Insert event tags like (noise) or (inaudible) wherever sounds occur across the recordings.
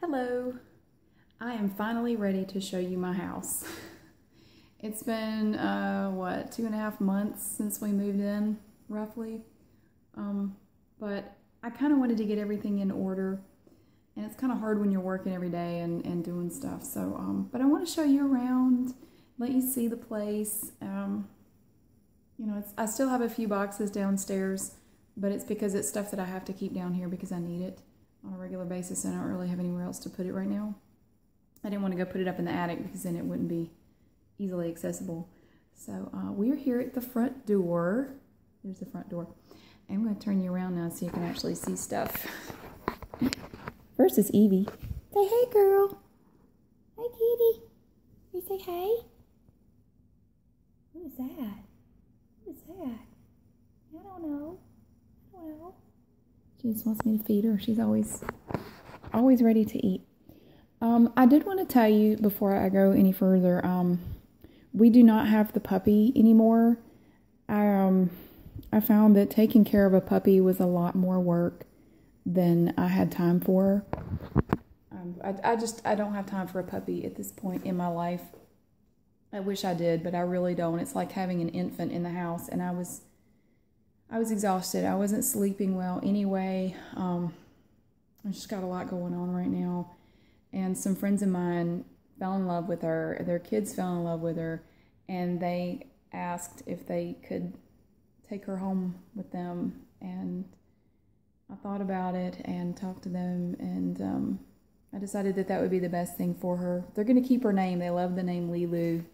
Hello! I am finally ready to show you my house. (laughs) it's been, uh, what, two and a half months since we moved in, roughly. Um, but I kind of wanted to get everything in order. And it's kind of hard when you're working every day and, doing stuff. So, um, but I want to show you around, let you see the place. Um, you know, I still have a few boxes downstairs but it's because it's stuff that I have to keep down here because I need it on a regular basis and I don't really have anywhere else to put it right now. I didn't want to go put it up in the attic because then it wouldn't be easily accessible. So uh, we're here at the front door. There's the front door. I'm going to turn you around now so you can actually see stuff. First is Evie. Say hey, girl. Hi, kitty. You say hey? Who's that? Who's that? I don't know. Well, She just wants me to feed her. She's always, always ready to eat. Um, I did want to tell you before I go any further. Um, we do not have the puppy anymore. um, I found that taking care of a puppy was a lot more work than I had time for. Um, I, I just I don't have time for a puppy at this point in my life. I wish I did, but I really don't. It's like having an infant in the house, and I was I was exhausted. I wasn't sleeping well anyway. Um, I just got a lot going on right now, and some friends of mine fell in love with her. Their kids fell in love with her, and they asked if they could take her home with them and I thought about it and talked to them, and um, I decided that that would be the best thing for her. They're going to keep her name. They love the name Lilu,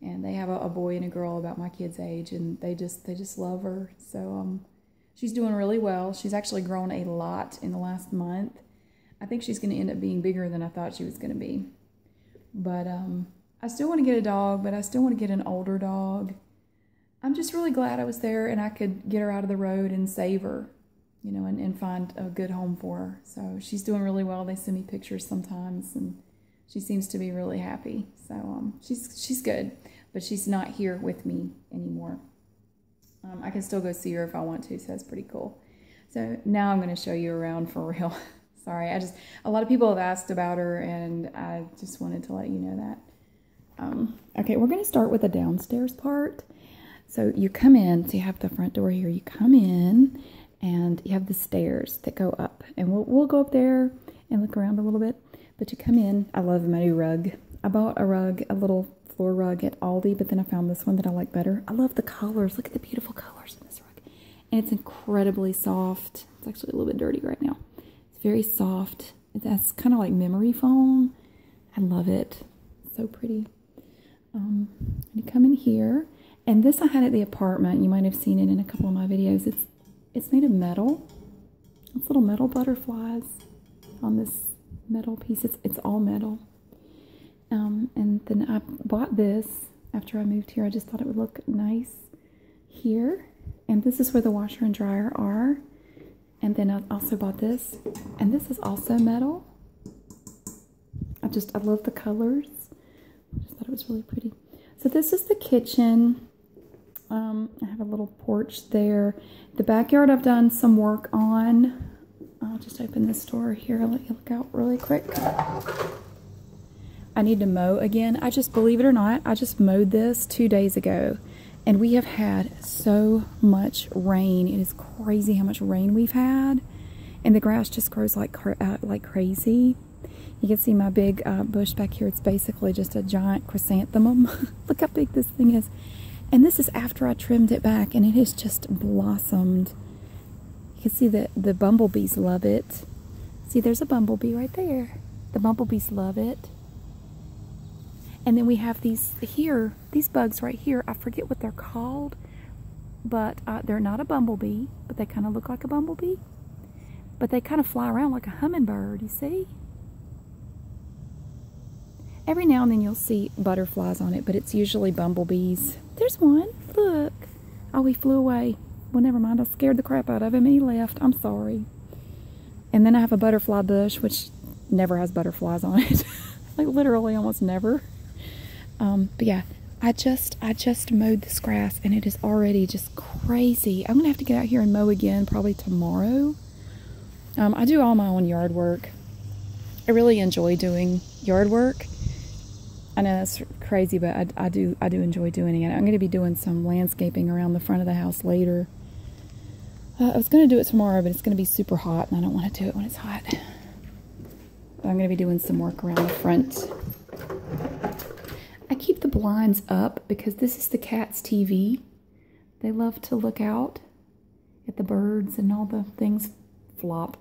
and they have a, a, boy and a girl about my kid's age, and they just they just love her. So um, she's doing really well. She's actually grown a lot in the last month. I think she's going to end up being bigger than I thought she was going to be. But um, I still want to get a dog, but I still want to get an older dog. I'm just really glad I was there and I could get her out of the road and save her, you know, and, find a good home for her. So she's doing really well. They send me pictures sometimes and she seems to be really happy. So um, she's, she's good, but she's not here with me anymore. Um, I can still go see her if I want to, so that's pretty cool. So now I'm going to show you around for (laughs) real. Sorry, I just, a lot of people have asked about her and I just wanted to let you know that. Um, okay, we're going to start with the downstairs part. So you come in, so you have the front door here. You come in and you have the stairs that go up. And we'll, we'll go up there and look around a little bit. But to come in. I love my new rug. I bought a rug, a little floor rug at Aldi, but then I found this one that I like better. I love the colors. Look at the beautiful colors in this rug. And it's incredibly soft. It's actually a little bit dirty right now. It's very soft that's kind of like memory foam. I love it. so pretty. Um, i to come in here. And this I had at the apartment. You might have seen it in a couple of my videos. It's it's made of metal. It's little metal butterflies on this metal piece. It's, it's all metal. Um, and then I bought this after I moved here. I just thought it would look nice here. And this is where the washer and dryer are. And then I also bought this. And this is also metal. I just, I love the colors. I just thought it was really pretty. So this is the kitchen. Um, I have a little porch there. The backyard I've done some work on. I'll just open this door here. let you look out really quick. I need to mow again. I just, believe it or not, I just mowed this two days ago. And we have had so much rain. It is crazy how much rain we've had. And the grass just grows like, uh, like crazy. You can see my big uh, bush back here. It's basically just a giant chrysanthemum. (laughs) Look how big this thing is. And this is after I trimmed it back and it has just blossomed. You can see that the bumblebees love it. See, there's a bumblebee right there. The bumblebees love it. And then we have these here, these bugs right here. I forget what they're called, but uh, they're not a bumblebee, but they kind of look like a bumblebee. But they kind of fly around like a hummingbird, you see? Every now and then you'll see butterflies on it, but it's usually bumblebees. There's one. Look. Oh, he flew away. Well, never mind. I scared the crap out of him and he left. I'm sorry. And then I have a butterfly bush, which never has butterflies on it. (laughs) like literally almost never. Um, but yeah, I just, I just mowed this grass and it is already just crazy. I'm going to have to get out here and mow again probably tomorrow. Um, I do all my own yard work. I really enjoy doing yard work. I know that's crazy, but I do I do enjoy doing it. I'm going to be doing some landscaping around the front of the house later uh, I was going to do it tomorrow, but it's going to be super hot, and I don't want to do it when it's hot. I'm going to be doing some work around the front. I keep the blinds up because this is the cat's TV. They love to look out at the birds and all the things flop.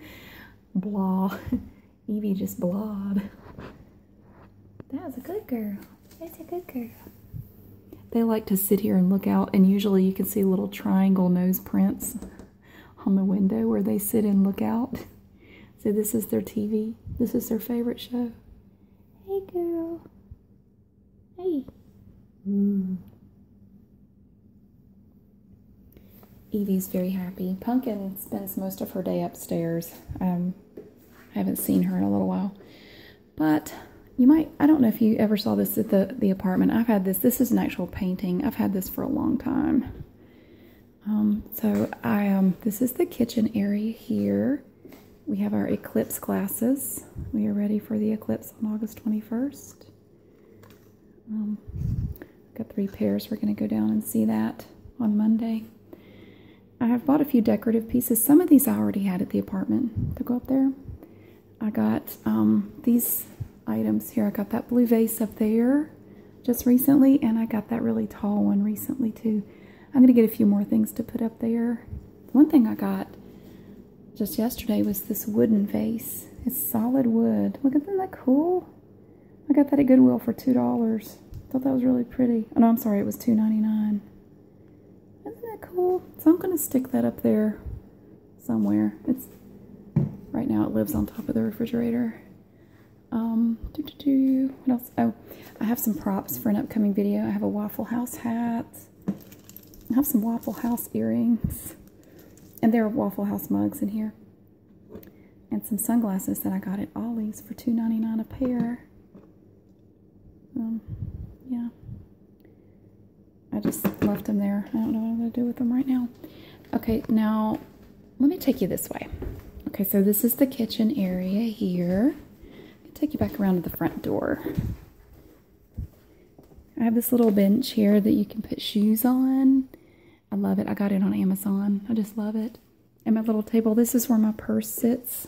(laughs) blah. (laughs) Evie just blah. That was a good girl. That's a good girl. They like to sit here and look out, and usually you can see little triangle nose prints on the window where they sit and look out. So this is their TV. This is their favorite show. Hey, girl. Hey. Mm. Evie's very happy. Pumpkin spends most of her day upstairs. Um, I haven't seen her in a little while. But you might, I don't know if you ever saw this at the, the apartment. I've had this. This is an actual painting. I've had this for a long time. Um, so I, am. Um, this is the kitchen area here. We have our eclipse glasses. We are ready for the eclipse on August 21st. Um, got three pairs. We're going to go down and see that on Monday. I have bought a few decorative pieces. Some of these I already had at the apartment. to go up there. I got um, these items here. I got that blue vase up there just recently, and I got that really tall one recently too. I'm going to get a few more things to put up there. One thing I got just yesterday was this wooden vase. It's solid wood. Look, isn't that cool? I got that at Goodwill for $2. thought that was really pretty. Oh, no, I'm sorry. It was two ninety nine. Isn't that cool? So I'm going to stick that up there somewhere. It's Right now it lives on top of the refrigerator. Um, What else? Oh, I have some props for an upcoming video. I have a Waffle House hat. I have some Waffle House earrings. And there are Waffle House mugs in here. And some sunglasses that I got at Ollie's for $2.99 a pair. Um, yeah. I just left them there. I don't know what I'm going to do with them right now. Okay, now let me take you this way. Okay, so this is the kitchen area here. I'll take you back around to the front door. I have this little bench here that you can put shoes on. I love it. I got it on Amazon. I just love it and my little table. This is where my purse sits.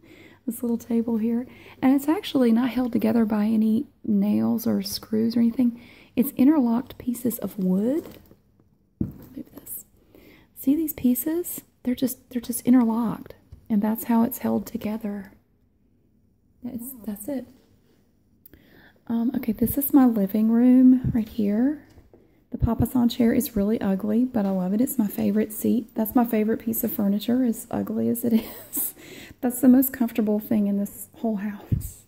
(laughs) this little table here. And it's actually not held together by any nails or screws or anything. It's interlocked pieces of wood. Move this. See these pieces? They're just they're just interlocked. And that's how it's held together. That's that's it. Um, okay, this is my living room right here. The Papasan chair is really ugly, but I love it. It's my favorite seat. That's my favorite piece of furniture, as ugly as it (laughs) is. That's the most comfortable thing in this whole house.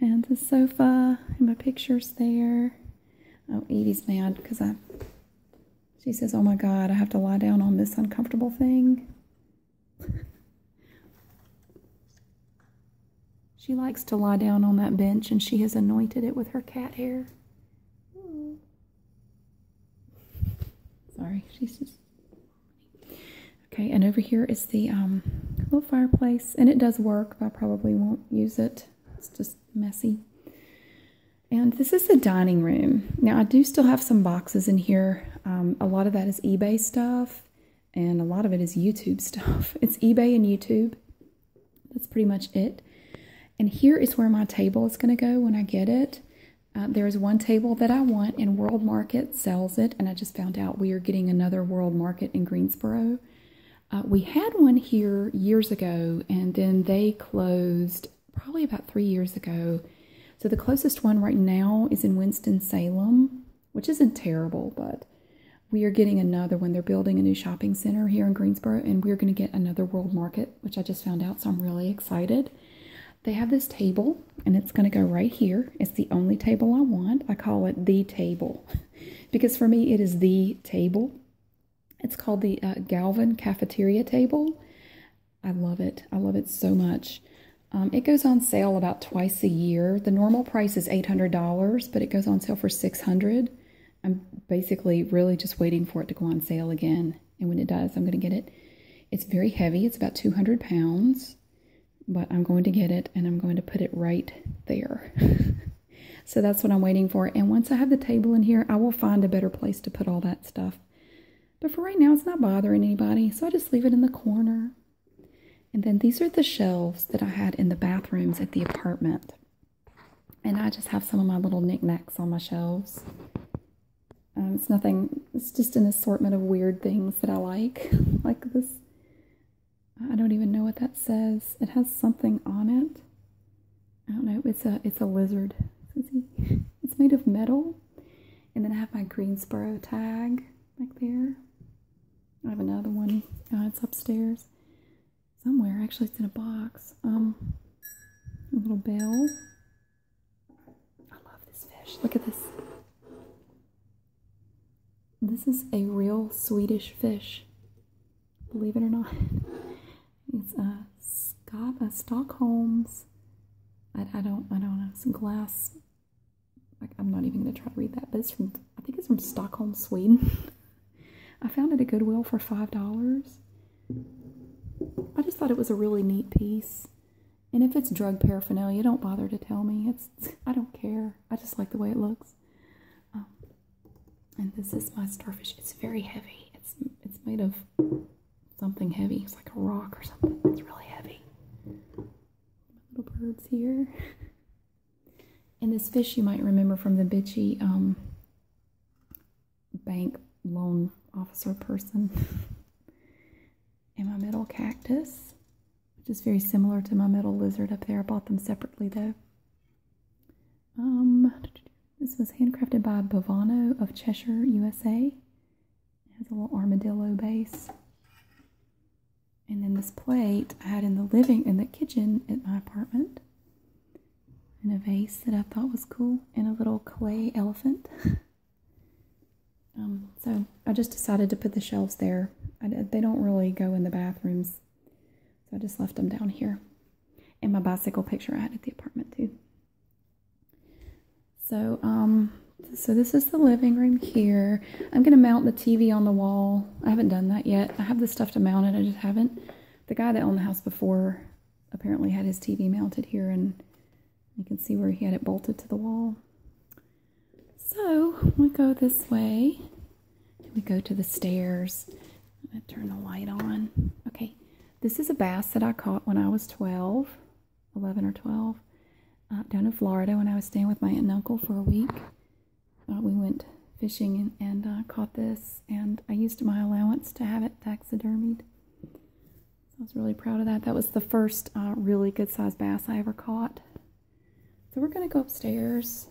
And the sofa and my pictures there. Oh, Edie's mad because I, she says, oh my God, I have to lie down on this uncomfortable thing. she likes to lie down on that bench and she has anointed it with her cat hair. Sorry, she's (laughs) Okay, and over here is the um, little fireplace, and it does work, but I probably won't use it. It's just messy. And this is the dining room. Now, I do still have some boxes in here. Um, a lot of that is eBay stuff, and a lot of it is YouTube (laughs) stuff. It's eBay and YouTube. That's pretty much it. And here is where my table is going to go when I get it. Uh, there is one table that I want, and World Market sells it. And I just found out we are getting another World Market in Greensboro. Uh, we had one here years ago, and then they closed probably about three years ago. So the closest one right now is in Winston-Salem, which isn't terrible, but we are getting another one. They're building a new shopping center here in Greensboro, and we're going to get another World Market, which I just found out, so I'm really excited. They have this table, and it's going to go right here. It's the only table I want. I call it the table (laughs) because for me, it is the table. It's called the uh, Galvin Cafeteria Table. I love it. I love it so much. Um, it goes on sale about twice a year. The normal price is $800, but it goes on sale for 600 I'm basically really just waiting for it to go on sale again. And when it does, I'm going to get it. It's very heavy. It's about 200 pounds. But I'm going to get it and I'm going to put it right there. (laughs) so that's what I'm waiting for. And once I have the table in here, I will find a better place to put all that stuff. But for right now, it's not bothering anybody. So I just leave it in the corner. And then these are the shelves that I had in the bathrooms at the apartment. And I just have some of my little knickknacks on my shelves. Um, it's nothing, it's just an assortment of weird things that I like. (laughs) like this, I don't even know what that says. It has something on it. I don't know, it's a, it's a lizard. (laughs) It's made of metal. And then I have my Greensboro tag like there. I have another one. Uh, it's upstairs somewhere. Actually, it's in a box. Um, a little bell. I love this fish. Look at this. This is a real Swedish fish. Believe it or not. (laughs) It's a uh, Scott, a uh, Stockholm's. I, I don't, I don't know. Some glass. Like, I'm not even gonna try to read that, but it's from. I think it's from Stockholm, Sweden. (laughs) I found it at Goodwill for $5. I just thought it was a really neat piece. And if it's drug paraphernalia, don't bother to tell me. It's I don't care. I just like the way it looks. Um, and this is my starfish. It's very heavy. It's it's made of something heavy. It's like a rock or something. It's really heavy. little birds here. (laughs) And this fish you might remember from the bitchy um, bank loan officer person. and (laughs) my metal cactus, which is very similar to my metal lizard up there. I bought them separately though. Um, this was handcrafted by Bovano of Cheshire, USA. It has a little armadillo base. And then this plate I had in the living in the kitchen at my apartment in a vase that I thought was cool and a little clay elephant. um, so I just decided to put the shelves there. I, they don't really go in the bathrooms, so I just left them down here. And my bicycle picture I had at the apartment too. So, um, so this is the living room here. I'm going to mount the TV on the wall. I haven't done that yet. I have the stuff to mount it. I just haven't the guy that owned the house before apparently had his TV mounted here, and you can see where he had it bolted to the wall. So we go this way. We go to the stairs. I'm turn the light on. Okay, this is a bass that I caught when I was 12, 11 or 12, uh, down in Florida when I was staying with my aunt and uncle for a week. Uh, we went fishing and, uh, caught this, and I used my allowance to have it taxidermied. I was really proud of that. That was the first uh, really good sized bass I ever caught. So we're going to go upstairs.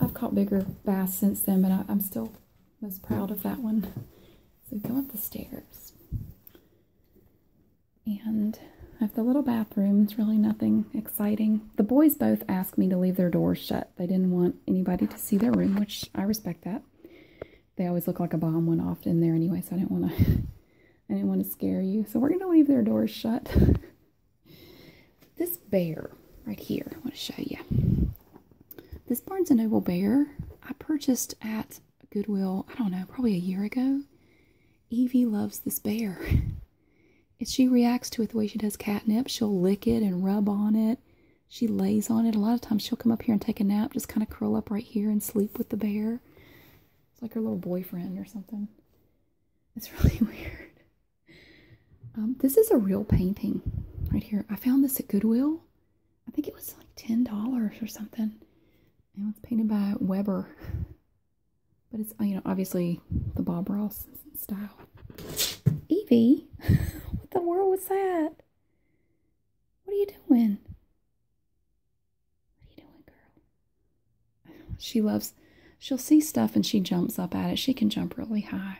I've caught bigger bass since then, but I, am still most proud of that one. So we come up the stairs. And I have the little bathroom. It's really nothing exciting. The boys both asked me to leave their doors shut they didn't want anybody to see their room, which I respect that. They always look like a bomb went off in there anyway, so I didn't want to (laughs) I didn't want to scare you. So we're gonna leave their doors shut. (laughs) this bear right here, I want to show you. This Barnes and Noble bear I purchased at Goodwill, I don't know, probably a year ago. Evie loves this bear. (laughs) If she reacts to it the way she does catnip, she'll lick it and rub on it. She lays on it. A lot of times she'll come up here and take a nap, just kind of curl up right here and sleep with the bear. It's like her little boyfriend or something. It's (laughs) really weird. Um, this is a real painting right here. I found this at Goodwill. I think it was like $10 or something. And it's painted by Weber. But it's, you know, obviously the Bob Ross style. Evie, (laughs) what the world was that? What are you doing? What are you doing, girl? She loves, she'll see stuff and she jumps up at it. She can jump really high.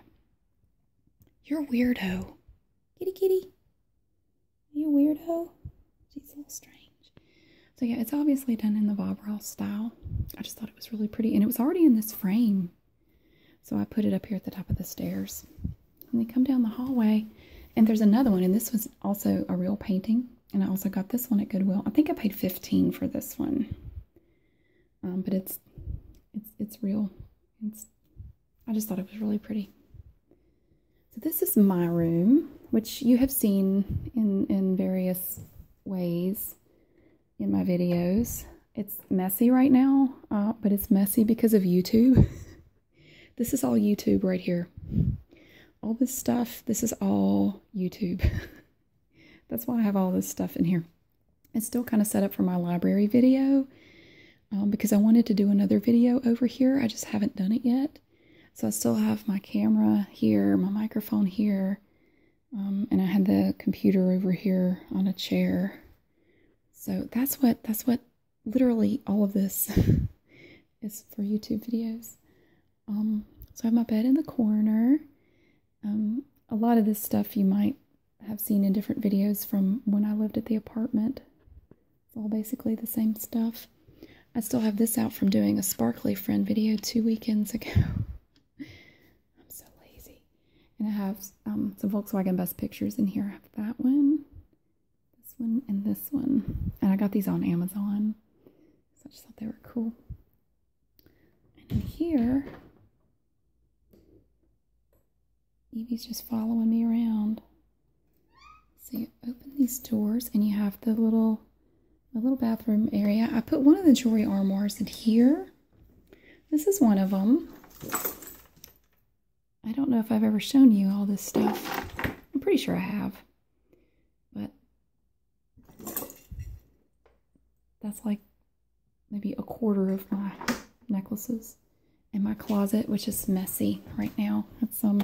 You're weirdo. Kitty, kitty. you a weirdo? She's a little strange. So yeah, it's obviously done in the Bob Ross style. I just thought it was really pretty. And it was already in this frame so I put it up here at the top of the stairs. And they come down the hallway, and there's another one, and this was also a real painting. And I also got this one at Goodwill. I think I paid 15 for this one. Um, but it's it's it's real. It's I just thought it was really pretty. So this is my room, which you have seen in in various ways in my videos. It's messy right now, uh, but it's messy because of YouTube. (laughs) this is all YouTube right here. All this stuff, this is all YouTube. (laughs) That's why I have all this stuff in here. It's still kind of set up for my library video um, because I wanted to do another video over here. I just haven't done it yet. So I still have my camera here, my microphone here, um, and I had the computer over here on a chair. So that's what that's what literally all of this (laughs) is for YouTube videos. Um, so I have my bed in the corner. Um, a lot of this stuff you might have seen in different videos from when I lived at the apartment. It's all basically the same stuff. I still have this out from doing a sparkly friend video two weekends ago. (laughs) I'm so lazy. And I have um, some Volkswagen Best Pictures in here. I that one, this one, and this one. And I got these on Amazon. So I just thought they were cool. And here, Evie's just following me around. So you open these doors and you have the little, the little bathroom area. I put one of the jewelry armoires in here this is one of them. I don't know if I've ever shown you all this stuff. I'm pretty sure I have. But that's like maybe a quarter of my necklaces in my closet, which is messy right now. That's some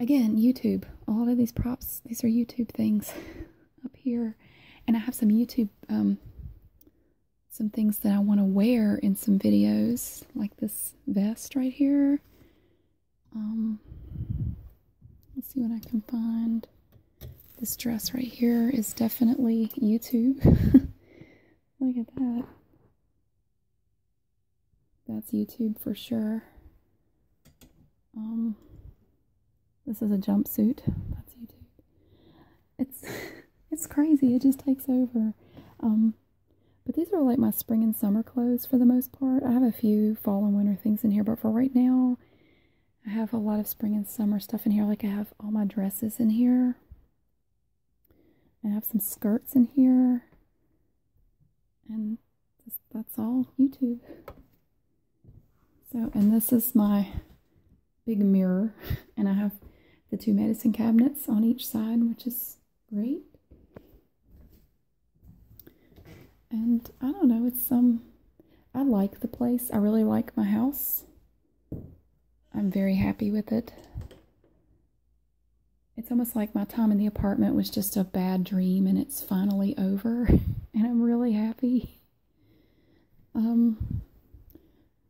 again YouTube. A lot of these props, these are YouTube things. (laughs) up here. And I have some YouTube, um, some things that I want to wear in some videos, like this vest right here. Um, let's see what I can find. This dress right here is definitely YouTube. (laughs) Look at that. That's YouTube for sure. Um, this is a jumpsuit. That's YouTube. It's (laughs) it's crazy. It just takes over. Um, but these are like my spring and summer clothes for the most part. I have a few fall and winter things in here, but for right now, I have a lot of spring and summer stuff in here. Like I have all my dresses in here. I have some skirts in here. And that's all YouTube. So, and this is my big mirror, (laughs) and I have the two medicine cabinets on each side, which is great. And I don't know, it's um, I like the place. I really like my house. I'm very happy with it. It's almost like my time in the apartment was just a bad dream and it's finally over (laughs) and I'm really happy. Um,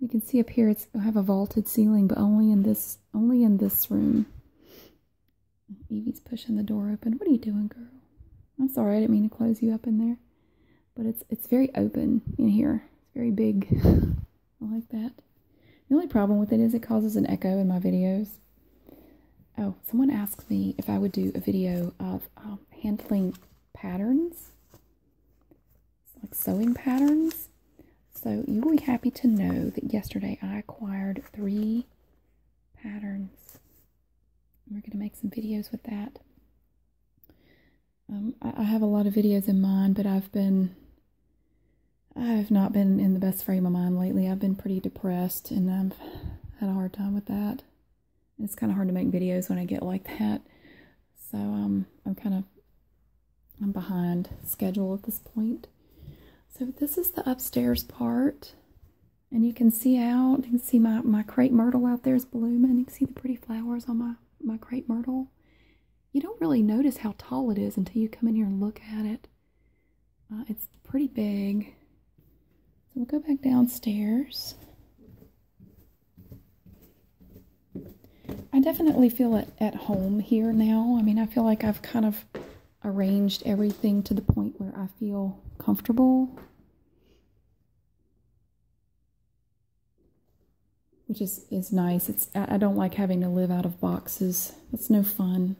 you can see up here it's have a vaulted ceiling, but only in this only in this room. Evie's pushing the door open. What are you doing, girl? I'm sorry, I didn't mean to close you up in there. But it's it's very open in here. It's very big. (laughs) I like that. The only problem with it is it causes an echo in my videos oh, someone asked me if I would do a video of um, handling patterns, like sewing patterns. So you will be happy to know that yesterday I acquired three patterns. We're going to make some videos with that. Um, I have a lot of videos in mind, but I've been I've not been in the best frame of mind lately. I've been pretty depressed and I've had a hard time with that. It's kind of hard to make videos when I get like that. So um, I'm kind of I'm behind schedule at this point. So this is the upstairs part. And you can see out, you can see my, my crepe myrtle out there is blooming. You can see the pretty flowers on my, my crepe myrtle. You don't really notice how tall it is until you come in here and look at it. Uh, it's pretty big. So we'll go back downstairs. I definitely feel at, at home here now. I mean, I feel like I've kind of arranged everything to the point where I feel comfortable. Which is, is nice. It's I don't like having to live out of boxes. That's no fun.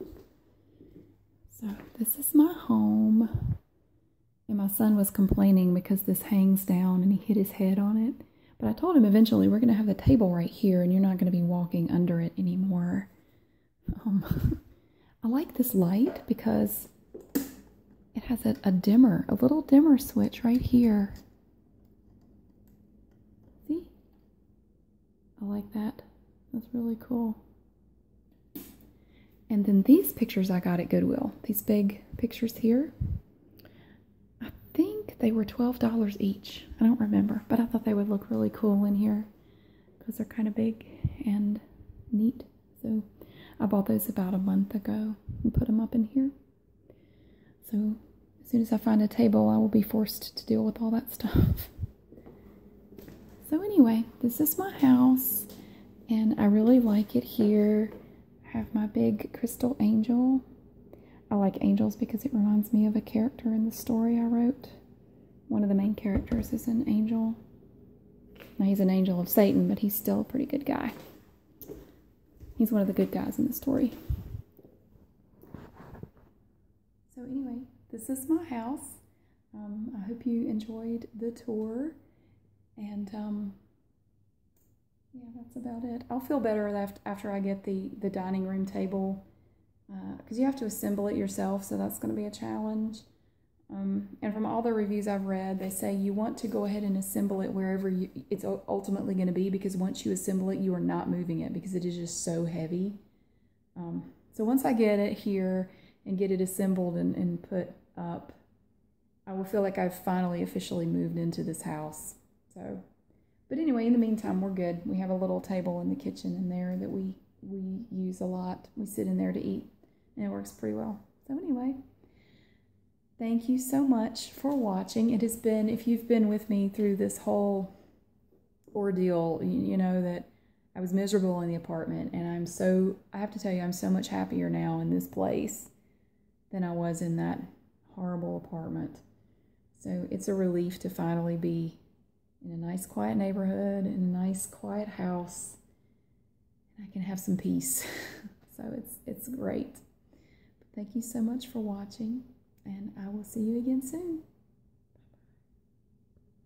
So this is my home. And my son was complaining because this hangs down and he hit his head on it. But I told him eventually we're going to have the table right here and you're not going to be walking under it anymore. Um, (laughs) I like this light because it has a dimmer, a little dimmer switch right here. See? I like that. That's really cool. And then these pictures I got at Goodwill. These big pictures here. I think they were $12 each. I don't remember, but I thought they would look really cool in here because they're kind of big and neat. So I bought those about a month ago and put them up in here. So as soon as I find a table, I will be forced to deal with all that stuff. (laughs) So anyway, this is my house and I really like it here. I have my big crystal angel. I like angels because it reminds me of a character in the story I wrote. One of the main characters is an angel. Now he's an angel of Satan, but he's still a pretty good guy. He's one of the good guys in the story. So anyway, this is my house. Um, I hope you enjoyed the tour, and um, yeah, that's about it. I'll feel better after after I get the the dining room table because uh, you have to assemble it yourself, so that's going to be a challenge. Um, and from all the reviews I've read, they say you want to go ahead and assemble it wherever you, it's ultimately going to be because once you assemble it, you are not moving it because it is just so heavy. Um, so once I get it here and get it assembled and, and put up, I will feel like I've finally officially moved into this house. So, but anyway, in the meantime, we're good. We have a little table in the kitchen in there that we, we use a lot. We sit in there to eat and it works pretty well. So anyway, thank you so much for watching. It has been, if you've been with me through this whole ordeal, you know that I was miserable in the apartment, and I'm so, I have to tell you, I'm so much happier now in this place than I was in that horrible apartment. So it's a relief to finally be in a nice, quiet neighborhood, in a nice, quiet house, and I can have some peace. (laughs) so it's, it's great. thank you so much for watching, and I will see you again soon. Bye.